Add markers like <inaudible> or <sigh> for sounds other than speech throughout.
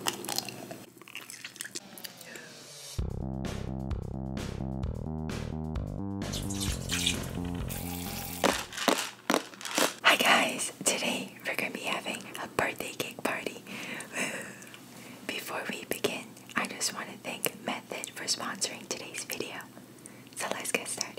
Hi guys! Today we're gonna be having a birthday cake party. Before we begin, I just want to thank Method for sponsoring today's video. So let's get started.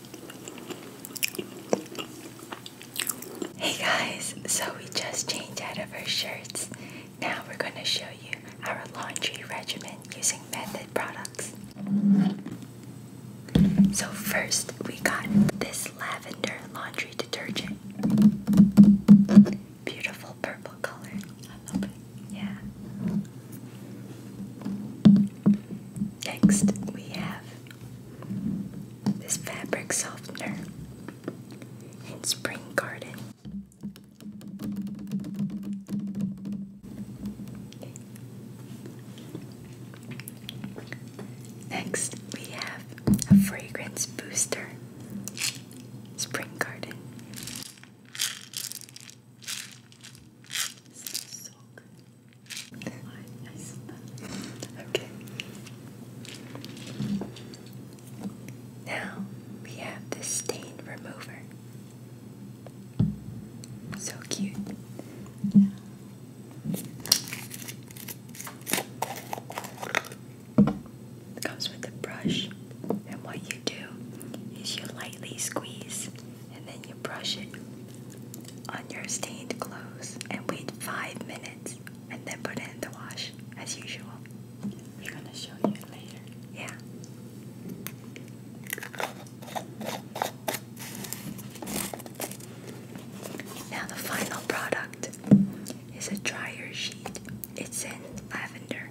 Hey guys, so we just changed out of our shirts. Now we're going to show you our laundry regimen using Method products. So first, we got this lavender laundry detergent. Beautiful purple color. I love it. Yeah. Next, we have this fabric softener in Spring Garden. Next, we have a fragrance booster, Spring Garden so good. Okay. Now we have the stain remover. So cute. comes with a brush, and what you do is you lightly squeeze and then you brush it on your stained clothes and wait five minutes and then put it in the wash as usual. We're gonna show you later. Yeah. Now the final product is a dryer sheet. It's in lavender.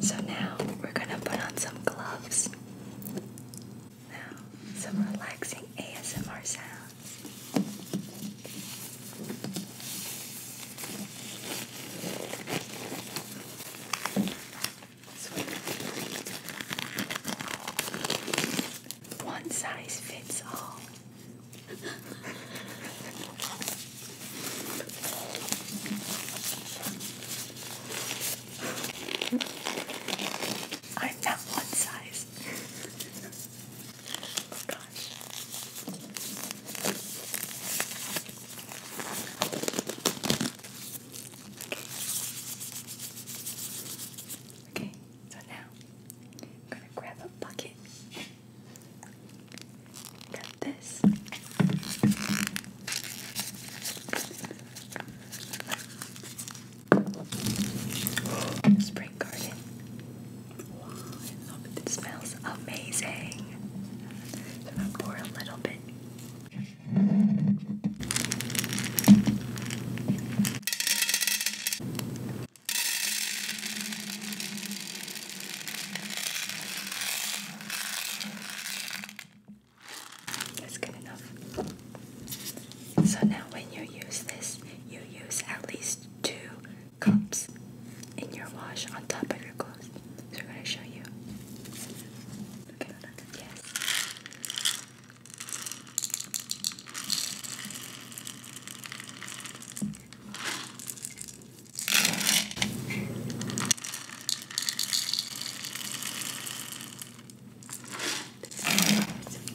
So now we're gonna put on some gloves. Now, some relaxing ASMR sounds. One size fits all. <laughs> I'm not one size. oh gosh. Okay. Okay, so now I'm gonna grab a bucket. Got this. Spring garden. Wow, I smells amazing. So I'm gonna pour a little bit. That's good enough. So now when you use this, you use at least two cups in your wash on top of your clothes. So we're gonna show you. Okay, yes.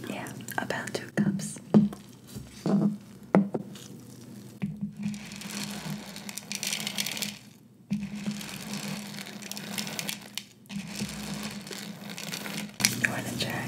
Yeah, about two cups. You want to try?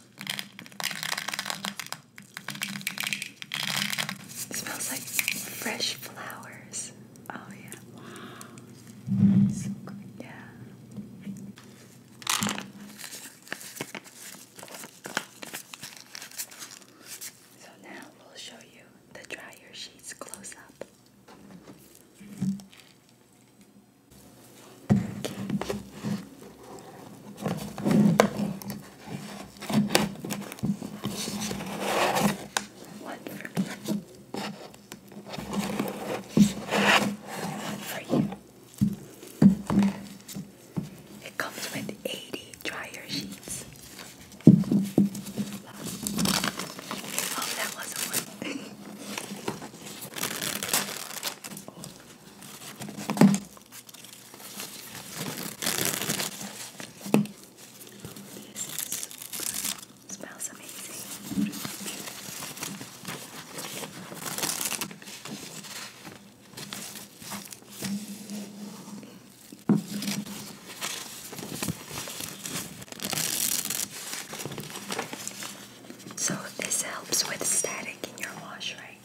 It smells like fresh flowers. Oh yeah. Wow. So good. Yeah. So now we'll show you the dryer sheets close up for you. It comes with 80 dryer sheets. Oh, that wasn't one. <laughs> Smells amazing. So this helps with static in your wash, right?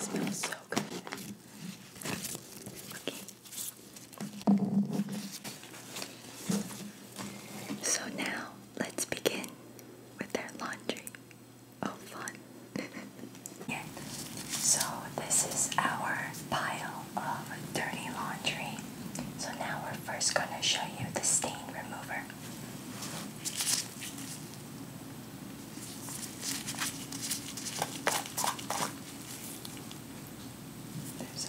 smells so good. Okay. So now let's begin with our laundry of oh, fun. <laughs> so this is our pile of dirty laundry. So now we're first going to show you the stain remover. There's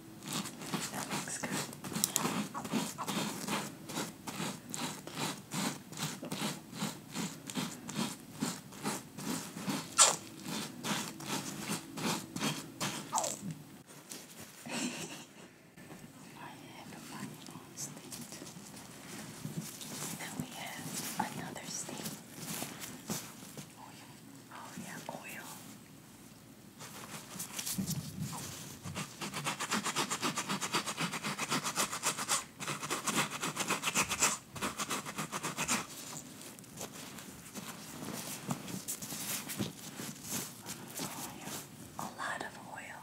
That looks good. I have my own state. Then we have another state. Oil. Oh yeah, oil. A lot of oil.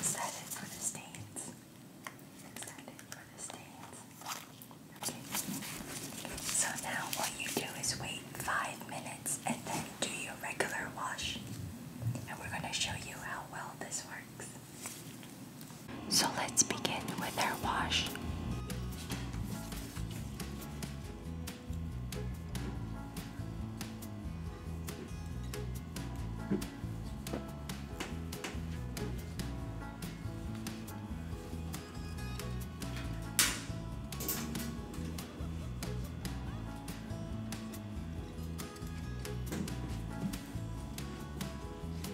Is it for the stains? Is it for the stains? Okay. So now what you do is wait five minutes and then do your regular wash. And we're going to show you how well this works. So let's begin with our wash.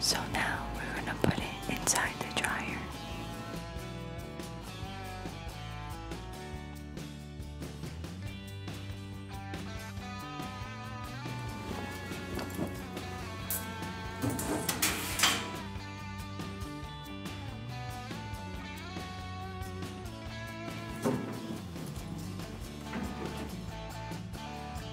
So now we're going to put it inside the dryer.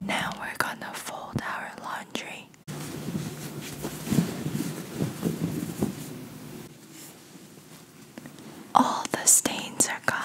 Now we're gonna fold our laundry. All the stains are gone.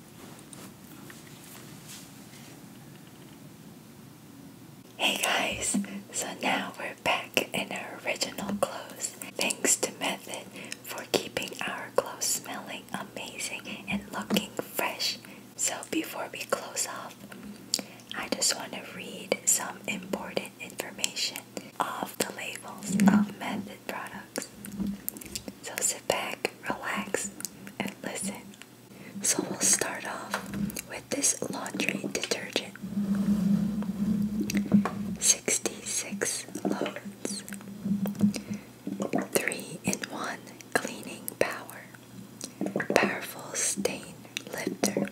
Hey guys, so now we're back in our original clothes. Thanks to Method for keeping our clothes smelling amazing and looking fresh. So before we close off, I just want to read some important information of the labels of Method products. So sit back, relax, and listen so we'll start off with this laundry detergent. 66 loads. 3 in 1 cleaning power. Powerful stain lifter.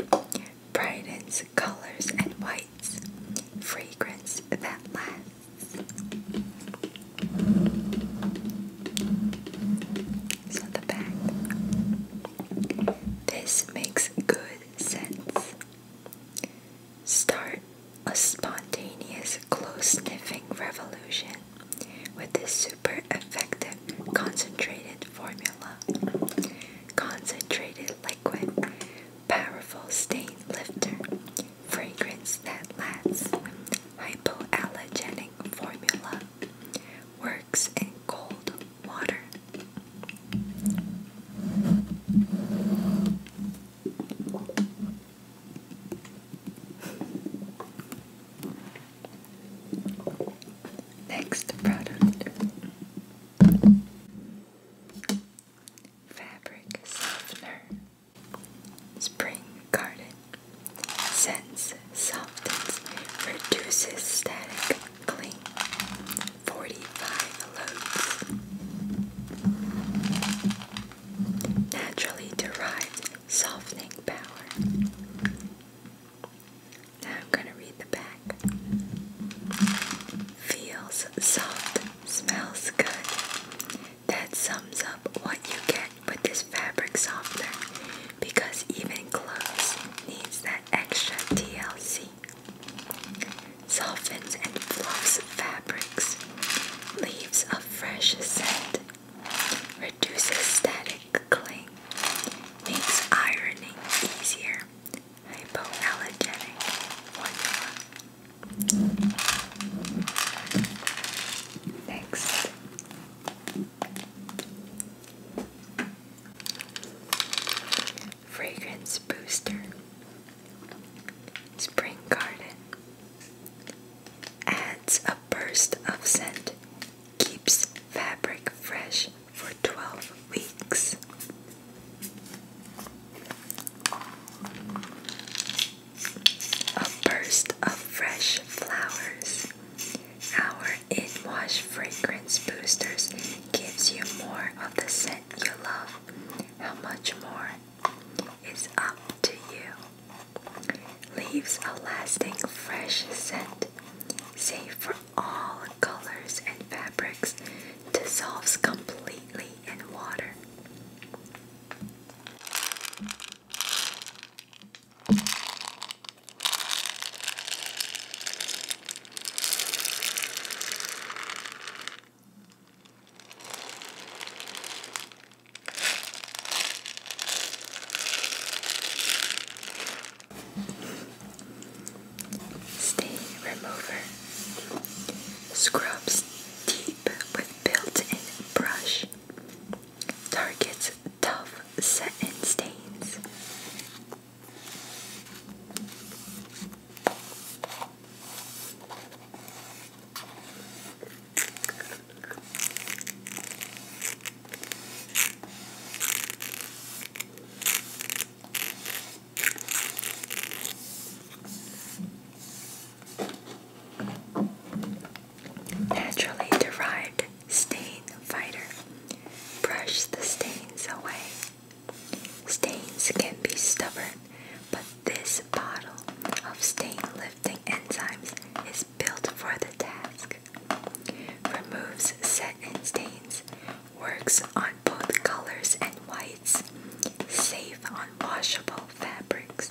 Brightens colors and whites. Fragrance that lasts. So the back. This makes good sense. Start a spontaneous close sniffing revolution with this super effective concentrated formula. Concentrated liquid, powerful stain lifter, fragrance that lasts, hypoallergenic formula works in cold water. Next product fabric softener. Spring Garden sense softens, reduces static cling. 45 loads. Naturally derived softening power. Now I'm going to read the back. Feels soft, smells good. That sums up what you get with this fabric softener because even clothes needs that extra TLC. Softens and fluffs fabrics, leaves a fresh scent, reduces static cling, makes ironing easier, hypoallergenic formula. Next, Fragrance Booster, Spring Garden, adds a burst of scent, keeps fabric fresh for 12 weeks. A burst of fresh flowers. Our In Wash Fragrance Boosters gives you more of the scent you love. How much more is up to you? Leaves a lasting fresh scent, safe for all colors and fabrics, dissolves completely in water. Stain remover scrubs deep with built-in brush targets tough satin stains. Naturally derived stain fighter. Brush the stains away. Stains can be stubborn, but this bottle of stain lifting enzymes is built for the task. Removes set in stains, works on both colors and whites, safe on washable fabrics.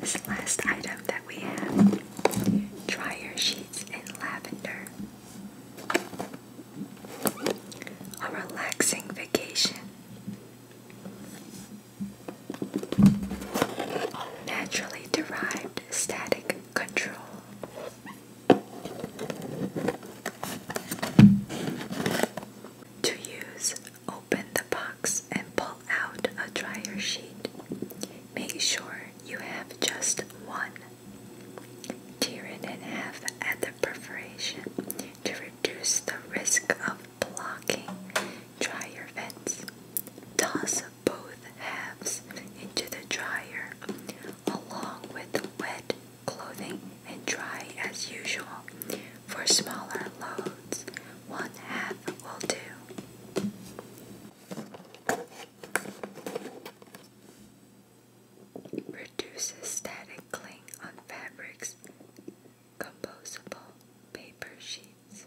This last item that we have dryer sheets in lavender. A relaxing vacation. Naturally derived static control. To use, open the box and pull out a dryer sheet. Make sure you have just one. Tear it in half at the perforation to reduce the risk of blocking dryer vents. Toss both halves into the dryer along with wet clothing and dry as usual. For smaller loads, one half will do. Reduces static cling on fabrics, composable paper sheets.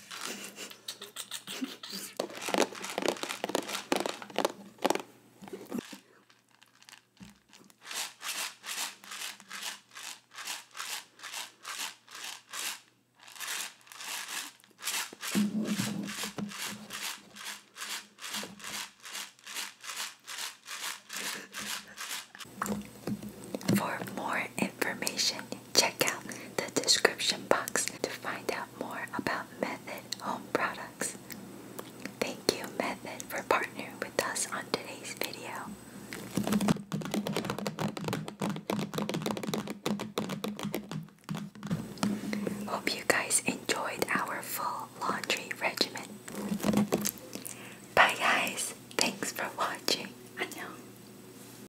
For more information Check out the description box to find out more about Method Home Products. Thank you, Method, for partnering with us on today's video. Hope you guys enjoyed our full laundry regimen. Bye, guys. Thanks for watching. I